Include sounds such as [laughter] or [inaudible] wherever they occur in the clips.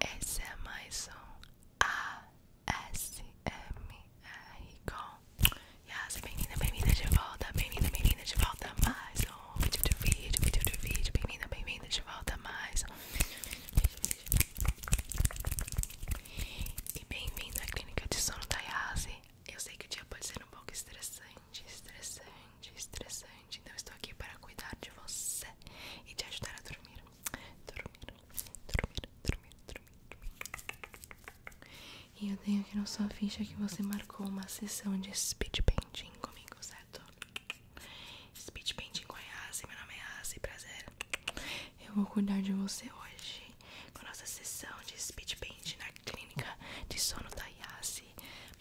Esse é mais um ASMR com Yas, bem-vinda, bem-vinda de volta, bem-vinda, bem-vinda de volta a mais um vídeo de vídeo, vídeo de vídeo, bem-vinda, bem-vinda de volta a mais um E bem-vindo à clínica de sono da Yas Eu sei que o dia pode ser um pouco estressante, estressante, estressante gente. Então estou aqui para cuidar de você e te ajudar a dormir. Dormir, dormir, dormir, dormir. dormir. E eu tenho aqui na sua ficha que você marcou uma sessão de speed painting comigo, certo? Speed painting com a Yassi, meu nome é Yassi, prazer. Eu vou cuidar de você hoje com a nossa sessão de speed painting na clínica de sono da Yassi.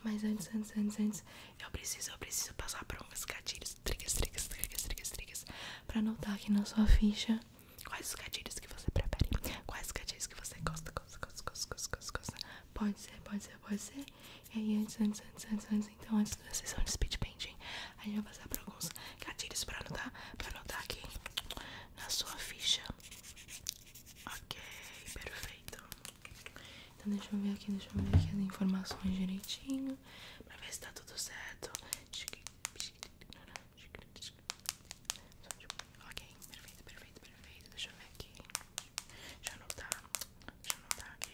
Mas antes, antes, antes, antes, eu preciso, eu preciso passar por uns gatilhos, triggers, triggers, triggers, triggers, triggers para anotar aqui na sua ficha Quais os gatilhos que você prefere Quais os gatilhos que você gosta, gosta, gosta, gosta, gosta, gosta, gosta. Pode ser, pode ser, pode ser E aí antes, antes, antes, antes, antes Então antes da sessão de speed painting A gente vai passar por alguns gatilhos para anotar Pra anotar aqui na sua ficha Ok, perfeito então deixa eu ver aqui, deixa eu ver aqui as informações direitinho pra ver se tá tudo certo. Ok, perfeito, perfeito, perfeito. Deixa eu ver aqui. Já não tá. Já não tá aqui.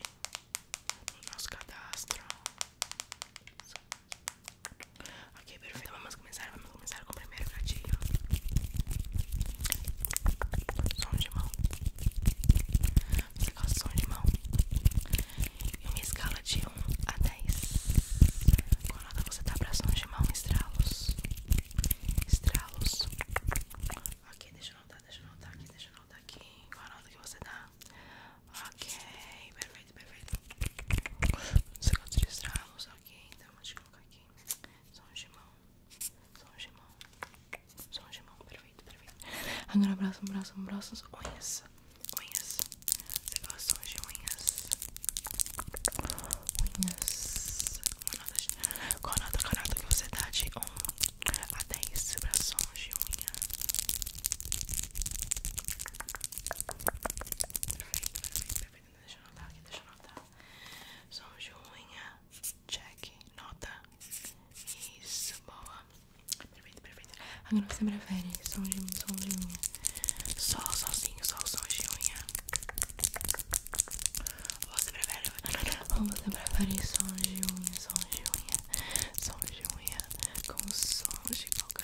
No nosso cadastro. Ok, perfeito. vamos começar, vamos começar com o primeiro gatilho. Som de mão. Nossa, de mão E uma escala de 1 a 10 Qual nota você dá pra som de mão? Estralos Estralos Ok, deixa eu notar, deixa eu notar aqui, deixa eu notar aqui Qual nota que você dá? Ok, perfeito, perfeito Você gosta de estralos? Ok, então vou te colocar aqui Som de mão Som de mão som de mão, perfeito, perfeito. Agora braço, braço, braços, unhas, unhas. Você gosta de unhas? Unhas. Uma nota de... Qual nota, que você dá de 1 a 10 pra som de unha? Perfeito, perfeito, perfeito. Deixa eu anotar aqui, deixa eu anotar. Som de unha, check, nota. Isso, boa. Perfeito, perfeito. Agora você prefere som de, unha som de unha? sol sozinho, sol som de unha. Ou você prefere. Ou você prefere som de unha, som de unha, som de unha, com som de boca.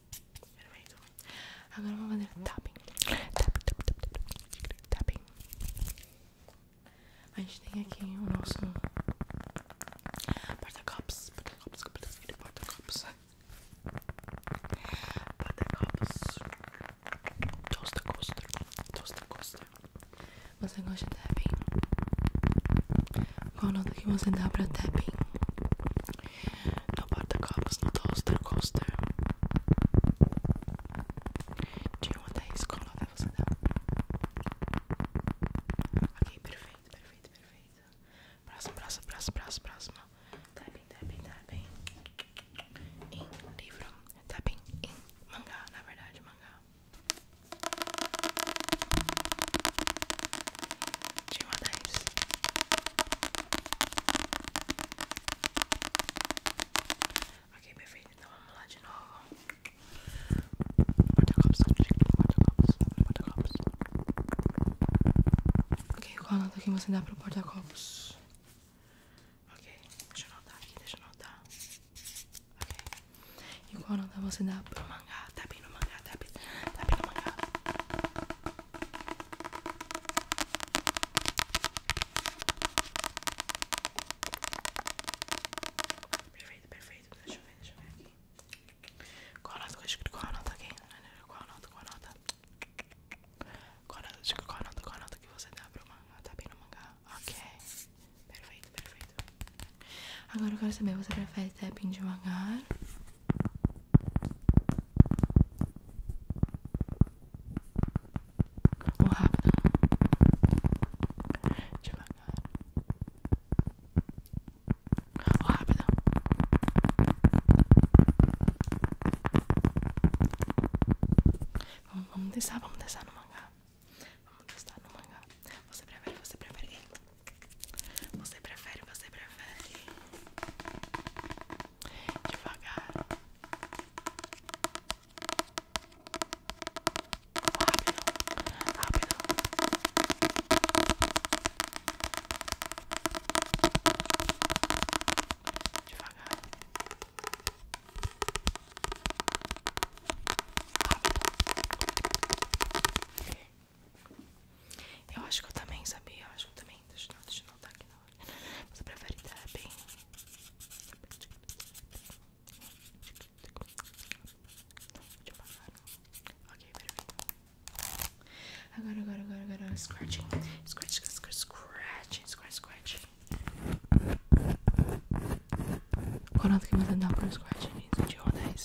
Agora vamos fazer tapping. Tapping, tapping, tapping, tapping. A gente tem aqui o nosso porta-copos. Porta-copos, porta-copos. Porta-copos. Tosta costa. Tosta costa. Você gosta de tapping? Qual nota que você dá pra tapping? no porta-copos, no toaster, coaster. De uma a 10, né, você dá? Ok, perfeito, perfeito, perfeito. Próximo, próximo, próximo, próximo, próximo. Tapping, tapping, tapping. Em livro. Tapping em mangá, na verdade, mangá de 1 a Ok, perfeito. Então vamos lá de novo. Porta-copos, porta-copos, porta-copos. Ok, qual nota que você dá pro porta-copos? Ok, deixa eu anotar aqui, deixa eu anotar. Ok. E qual que você dá para mangá? Tá bem no mangá, tá bem, tá bem no mangá. Perfeito, perfeito. Deixa eu ver, deixa eu ver aqui. Qual a nota? Qual nota Qual nota? Qual nota? Qual nota? Qual nota? Qual nota que você dá para o mangá? Tá bem no mangá? Ok. Perfeito, perfeito. Agora eu quero saber, se você prefere tapping devagar ou rápido, devagar, ou rápido. Vamos, vamos vamos testar no mangá. Vamos testar no mangá. Você prefere, você prefere. Você prefere, você prefere devagar. Rápido, rápido. Devagar. Rápido. Eu acho que eu também sabia, eu acho que eu também. Deixa eu, deixa eu aqui não mas pra validar é bem. Ok, perfeito. Agora, agora, agora, agora, scratching. Scratch, scratch, scratch, scratch, scratch. Qual nota que você dá pro scratch De 1 a 10?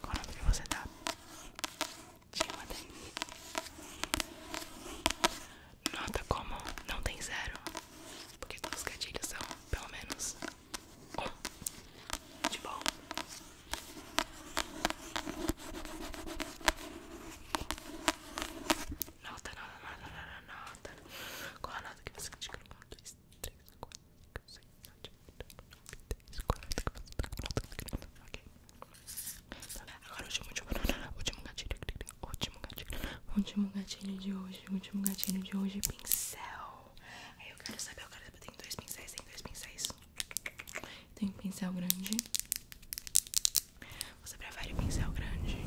Qual nome que você dá? Tá? Tinha daí. Nota como não tem zero, porque todos os gatilhos são pelo menos um de bom. Nota, nota, nota, nota, nota. Qual a nota que você critica no contexto? 3, 4, 5, 6, 7, 8, 9, 10, 40, 40, 40, ok. Agora o último, último, [laughs] último gatilho, último gatilho, último gatilho de hoje, último gatilho de hoje, pincel. Aí eu quero saber, eu quero saber, tem dois pincéis, tem dois pincéis. Tem um pincel grande. Você prefere pincel grande?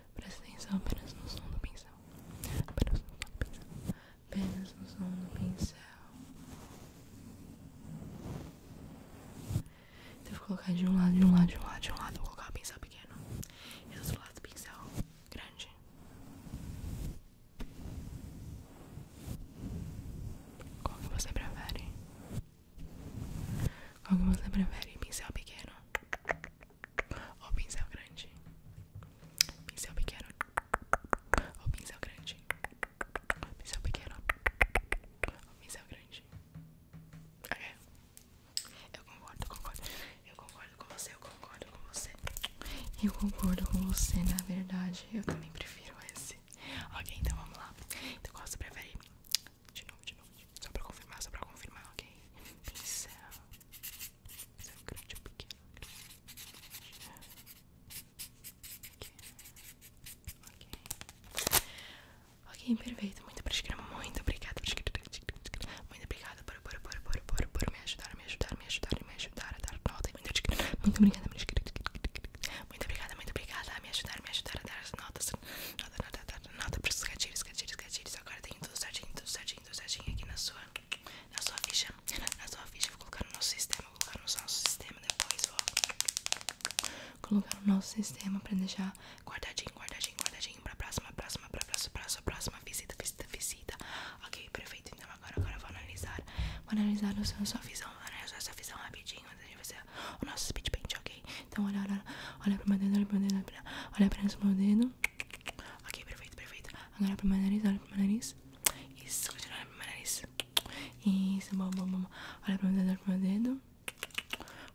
Presta atenção apenas no som do pincel. Apenas no som do pincel. Apenas no som do pincel. Então, eu colocar de um lado, de um lado, de um lado, de um lado. Vou colocar o pincel pequeno. E do outro lado, o pincel grande. Qual que você prefere? Qual que você prefere? Pincel pequeno o pincel grande, pincel pequeno, o pincel grande, pincel pequeno, o pincel grande. Ok? É. Eu concordo, concordo. Eu concordo com você, eu concordo com você. Eu concordo com você, na verdade. Eu também prefiro esse. Ok, então vamos lá. Então qual você prefere? De novo, de novo. Só pra confirmar, só pra confirmar, ok? Pincel. Ok, perfeito. Muito obrigada. Muito obrigada. Muito obrigada por, por, por, por, por, por me ajudar, me ajudar, me ajudar, me ajudar a dar notas, Muito obrigada. Muito obrigada, muito obrigada a me ajudar, me ajudar a dar as notas. Nota, nota, nota, para os gatilhos, gatilhos, gatilhos. Agora tem tudo certinho, tudo certinho aqui na sua, ficha. vou colocar no nosso sistema. Vou colocar no nosso sistema depois, vou colocar no nosso sistema pra deixar guardadinho, guardadinho, guardadinho pra próxima, próxima, pra próxima, próxima, próxima visita, visita, visita. Ok, perfeito. Então agora, agora eu vou analisar. Vou analisar o seu, sua visão, analisar a sua visão rapidinho o nosso speed paint, ok? Então olha, olha, olha pro meu dedo, olha pro meu dedo, olha pra, esse meu dedo. Ok, perfeito, perfeito. Agora pro meu nariz, olha pro meu nariz. Isso, continua olhando pro meu nariz. Isso, bom, bom, bom. Olha pro meu dedo, olha meu dedo.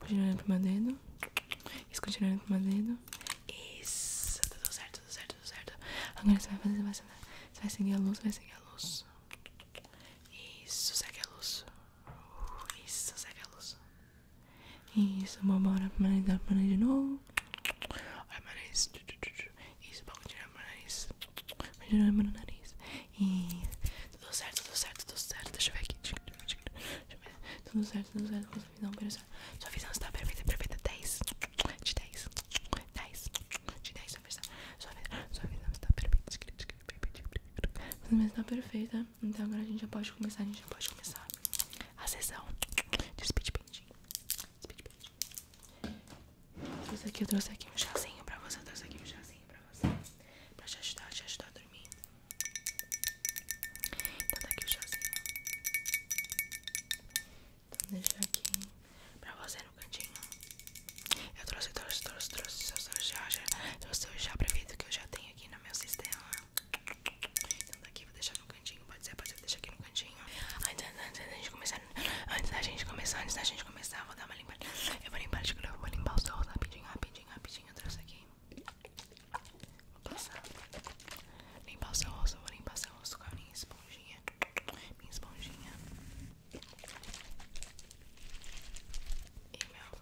Continua olhando pro meu dedo. Isso, continua olhando pro meu dedo. Isso, tá tudo certo, tudo certo, tudo certo. Agora você vai fazer, você vai, você vai seguir a luz, vai seguir a luz. Isso, segue a luz. Isso, segue a luz. Isso, bom, bora pro nariz, bora pro de novo. Olha pro nariz. Isso, bom, continua pro nariz. Continua pro nariz. Isso. Tudo certo, tudo certo, tudo certo. Deixa eu ver aqui. Deixa eu ver. Tudo certo, tudo certo. Com sua visão, perfeita. Sua visão está perfeita, perfeita. 10. De 10. 10. De 10, sua visão. Sua visão, sua visão está perfeita. Sua visão está perfeita. Então agora a gente já pode começar, a gente já pode começar a sessão de speed painting. Speed painting. aqui eu trouxe aqui um chazinho pra você, eu aqui um chazinho pra você. Pra te ajudar, te ajudar a dormir. Então tá aqui o chazinho. Então deixa aqui pra você no cantinho. Eu trouxe, trouxe, trouxe, trouxe, trouxe, trouxe, trouxe, trouxe, o chá prefeito que eu já tenho aqui no meu sistema. Então daqui tá vou deixar no cantinho, pode ser, pode ser, vou deixar aqui no cantinho. Antes, antes, antes da gente começar, antes da gente começar, antes da gente começar, vou dar uma limpada. Eu vou limpar de novo, vou limpar os seus rapidinho, rapidinho, rapidinho. Eu trouxe aqui. Vou passar. Limpar o seu rosto, vou limpar o seu rosto com a minha esponjinha. Minha esponjinha. E meu.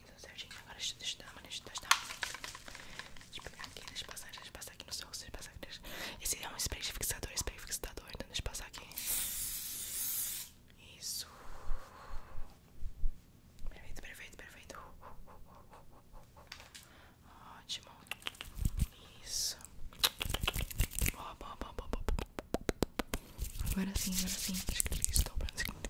certinho, certinho. Agora deixa, deixa eu dar uma, deixa, deixa eu dar uma. Deixa eu pegar aqui, deixa eu passar, aqui no sol, rosto, deixa eu aqui. Esse é um spray fixador, spray fixador, então deixa eu passar aqui. Isso. Perfeito, perfeito, perfeito. Ótimo. Isso. Boa, boa, boa, boa, boa. Agora sim, agora sim. Acho que estou pronto.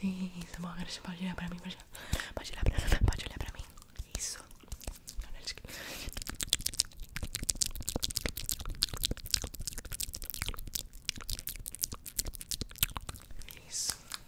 Isso, bom, agora você pode olhar pra mim, pode, pode, olhar, pra, pode olhar pra mim. Isso. Isso.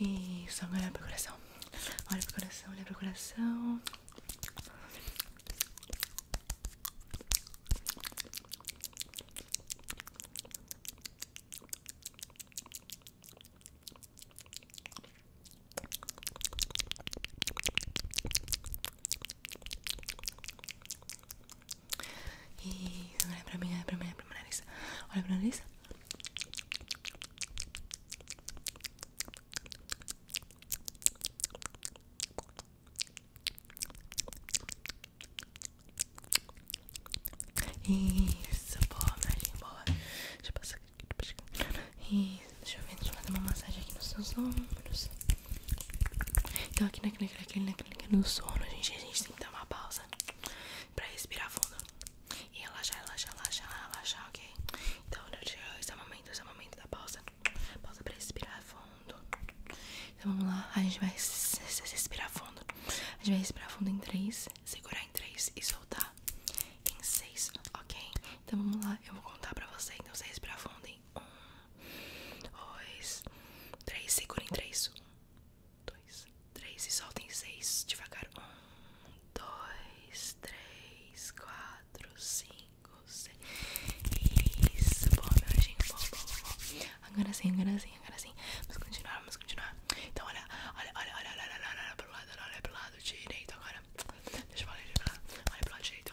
Isso, agora olha pro coração. Olha pro coração, olha pro coração. Isso, olha pra mim, olha pra mim, olha pra meu nariz. Olha pro nariz. Isso, boa, magia, boa. Deixa eu passar aqui. Isso, deixa eu ver, deixa eu fazer uma massagem aqui nos seus ombros. Então aqui na clínica, na clínica, na clínica, no sono, a gente, a gente tem que dar uma pausa pra respirar fundo e relaxar, relaxar, relaxar, relaxar, ok? Então esse é o momento, esse é o momento da pausa, pausa pra respirar fundo. Então vamos lá, a gente vai respirar fundo. A gente vai respirar fundo em 3, segurar em 3 e soltar em 6, ok? Então vamos lá, eu vou contar pra você. Então você respirar fundo em um, dois, três, segurem três, um, dois, três e soltem seis devagar, um, dois, três, quatro, cinco, seis, isso, bom, meu gente, bom, bom, bom, agora sim, agora sim, agora sim, vamos continuar, vamos continuar, então olha, olha, olha, olha, olha, olha, olha, olha pro lado, olha pro lado direito agora, deixa eu falar, deixa eu falar, olha pro lado direito,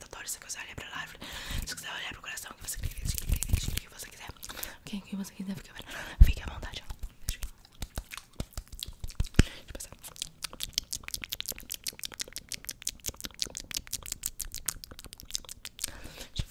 se você quiser olhar para a lá, se quiser olhar para o coração, que você clica, o que você quiser. O que você quiser, fica, à vontade. Deixa eu passar. Deixa eu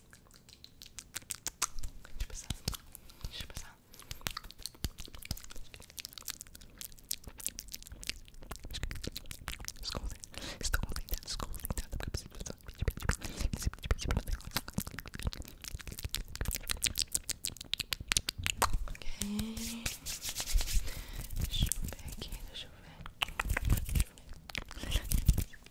Deixa eu passar. Deixa eu passar. Escolta. Estou contentado, estou contentado porque preciso passar. Ok. Deixa eu ver aqui, deixa eu ver. Deixa eu ver.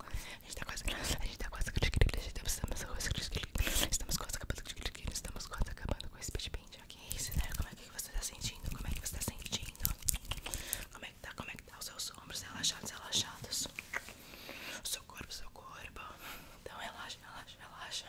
A gente tá quase. A Estamos tá quase. Tá estamos quase acabando. Estamos quase acabando com esse speed paint aqui. Né? Como é que você tá sentindo? Como é que você tá sentindo? Como é que tá? Como é que tá os seus ombros relaxados, relaxados? O seu corpo, o seu corpo. Então relaxa, relaxa. Relaxa.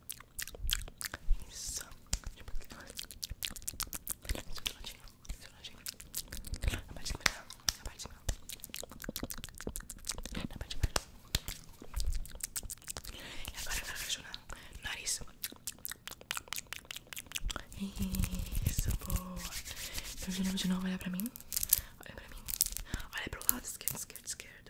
Isso. Na parte de cima, na parte de cima. Na parte de cima, E agora vai chorar. Nariz. Isso, boa. Então de novo, de novo, olha pra mim. Olha pra mim. Olha pro lado esquerdo, esquerdo, esquerdo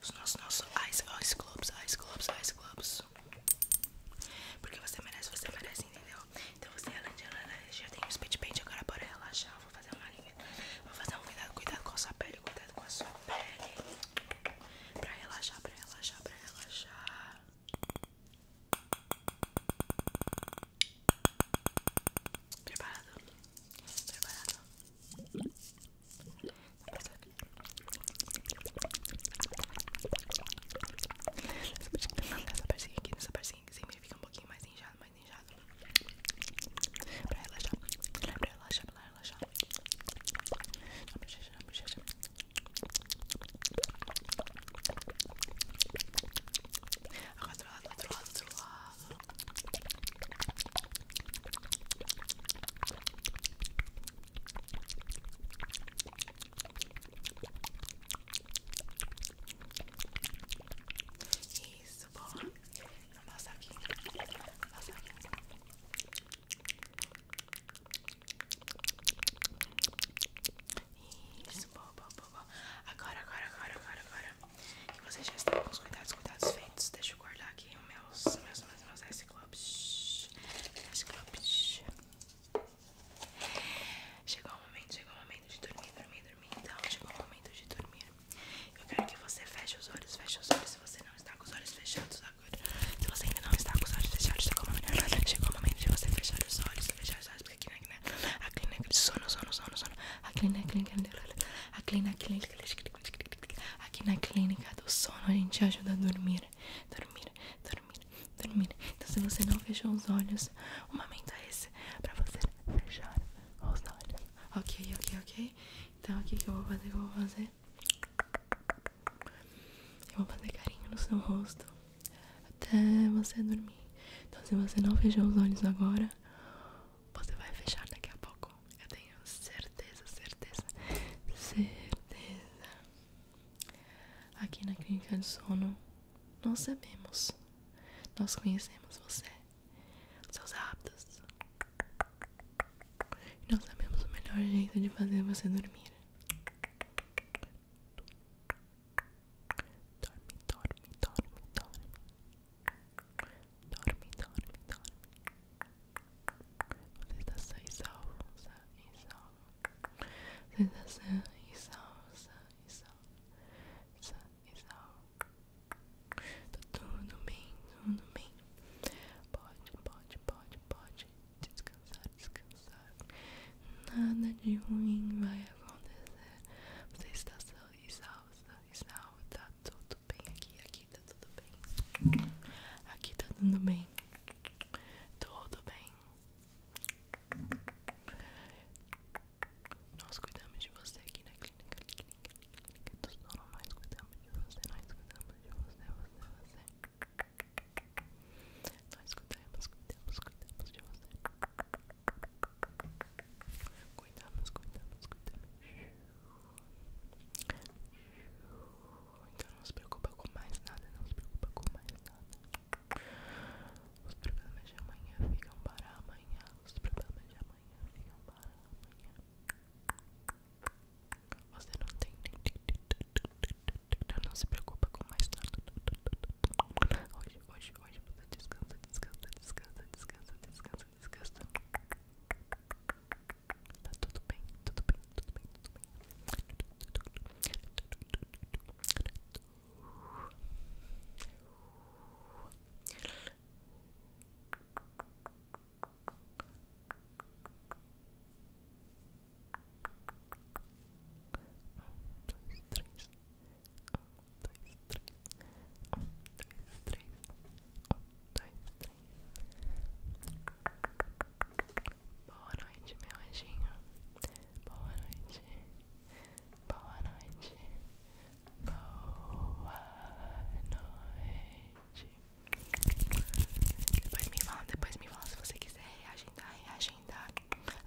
Os nossos, nossos ice, ice globes, ice globes, ice globes. Porque você merece, você merece, entendeu? Então você, além de ela, já tem um speed paint, agora bora relaxar. Vou fazer uma linha. Vou fazer um cuidado, cuidado com a sua pele, cuidado com a sua pele. Pra relaxar, pra relaxar, pra relaxar. Preparado? Preparado? Essa partezinha aqui, nessa partezinha aqui, sempre fica um pouquinho mais inchado, mais inchado. Pra relaxar, pra relaxar, pra relaxar. Na bochecha, na bochecha. Agora do lado, outro lado, outro lado. Isso, boa. Amassa aqui. Amassa aqui. Isso, boa, boa, boa, boa. Agora, agora, agora, agora, agora. E você já está com os cuidados, cuidados feitos. Deixa eu guardar aqui meus, meus, meus, meus ice clubs. Chegou o momento, chegou o momento de dormir, dormir, dormir. Então, chegou o momento de dormir. Eu quero que você feche os olhos, feche os olhos. Se você não está com os olhos fechados agora, se você ainda não está com os olhos fechados, chegou o momento, chegou o momento de você fechar os olhos, fechar os olhos, porque aqui na, é na, é. a clínica de sono, sono, sono, sono, a clínica, a clínica, a clínica, a clínica, Aqui na clínica do sono a gente ajuda a dormir, dormir, dormir, dormir. Então se você não fechou os olhos, o momento é esse pra você fechar os olhos. Ok, ok, ok. Então o que, que eu vou fazer? Eu vou fazer. Eu vou fazer carinho no seu rosto até você dormir. Então se você não fechou os olhos agora, você vai fechar daqui a pouco. Eu tenho certeza, certeza, certeza. Aqui na Clínica de Sono, nós sabemos, nós conhecemos você, seus hábitos. E nós sabemos o melhor jeito de fazer você dormir. Dorme, dorme, dorme, dorme. Dorme, dorme, dorme. Sensação e salsa e salsa. Sensação e salsa e salsa e salsa. Tá tudo bem, tudo bem. Pode, pode, pode, pode descansar, descansar. Nada de ruim vai acontecer. Você está só e salsa e salsa. Tá tudo bem aqui, aqui, tá Tá tudo bem. Aqui tá tudo bem. Tudo bem. Nós cuidamos de você aqui na clínica. clínica, clínica. Todos nós cuidamos de você. Nós cuidamos de você, você, você. Nós cuidamos, cuidamos, cuidamos de você. Cuidamos, cuidamos, cuidamos. Então não se preocupa com mais nada, não se preocupa com mais nada. Os problemas de amanhã ficam para amanhã. Os problemas de amanhã ficam para amanhã. Você não tem. nenhum então Não se preocupa com mais nada. Hoje, hoje, hoje você descansa, descansa, descansa, descansa, descansa, descansa. Tá tudo bem, tudo bem, tudo bem, tudo bem. Um, dois, três. Um, dois, três. Um, dois, três. Um, dois, três. Boa noite, meu anjinho. Boa noite. Boa noite. Boa noite. Depois me fala, depois me fala se você quiser reagendar, reagendar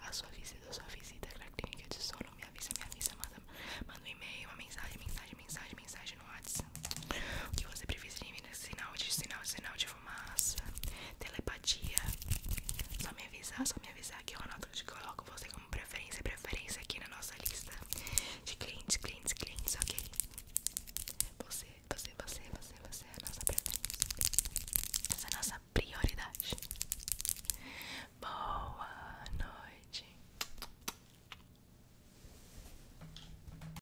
a sua visita, a sua visita pra clínica de sono. Me avisa, me avisa, manda, manda um e-mail, uma mensagem, mensagem, mensagem, mensagem no WhatsApp. O que você preferia? Sinal de sinal, sinal de fumaça, telepatia. Só me avisar, só me avisar que eu anoto que coloco você como preferência, preferência aqui na nossa lista de clientes, clientes, clientes, ok? Você, você, você, você, você é a nossa preferência. Essa é a nossa prioridade. Boa noite.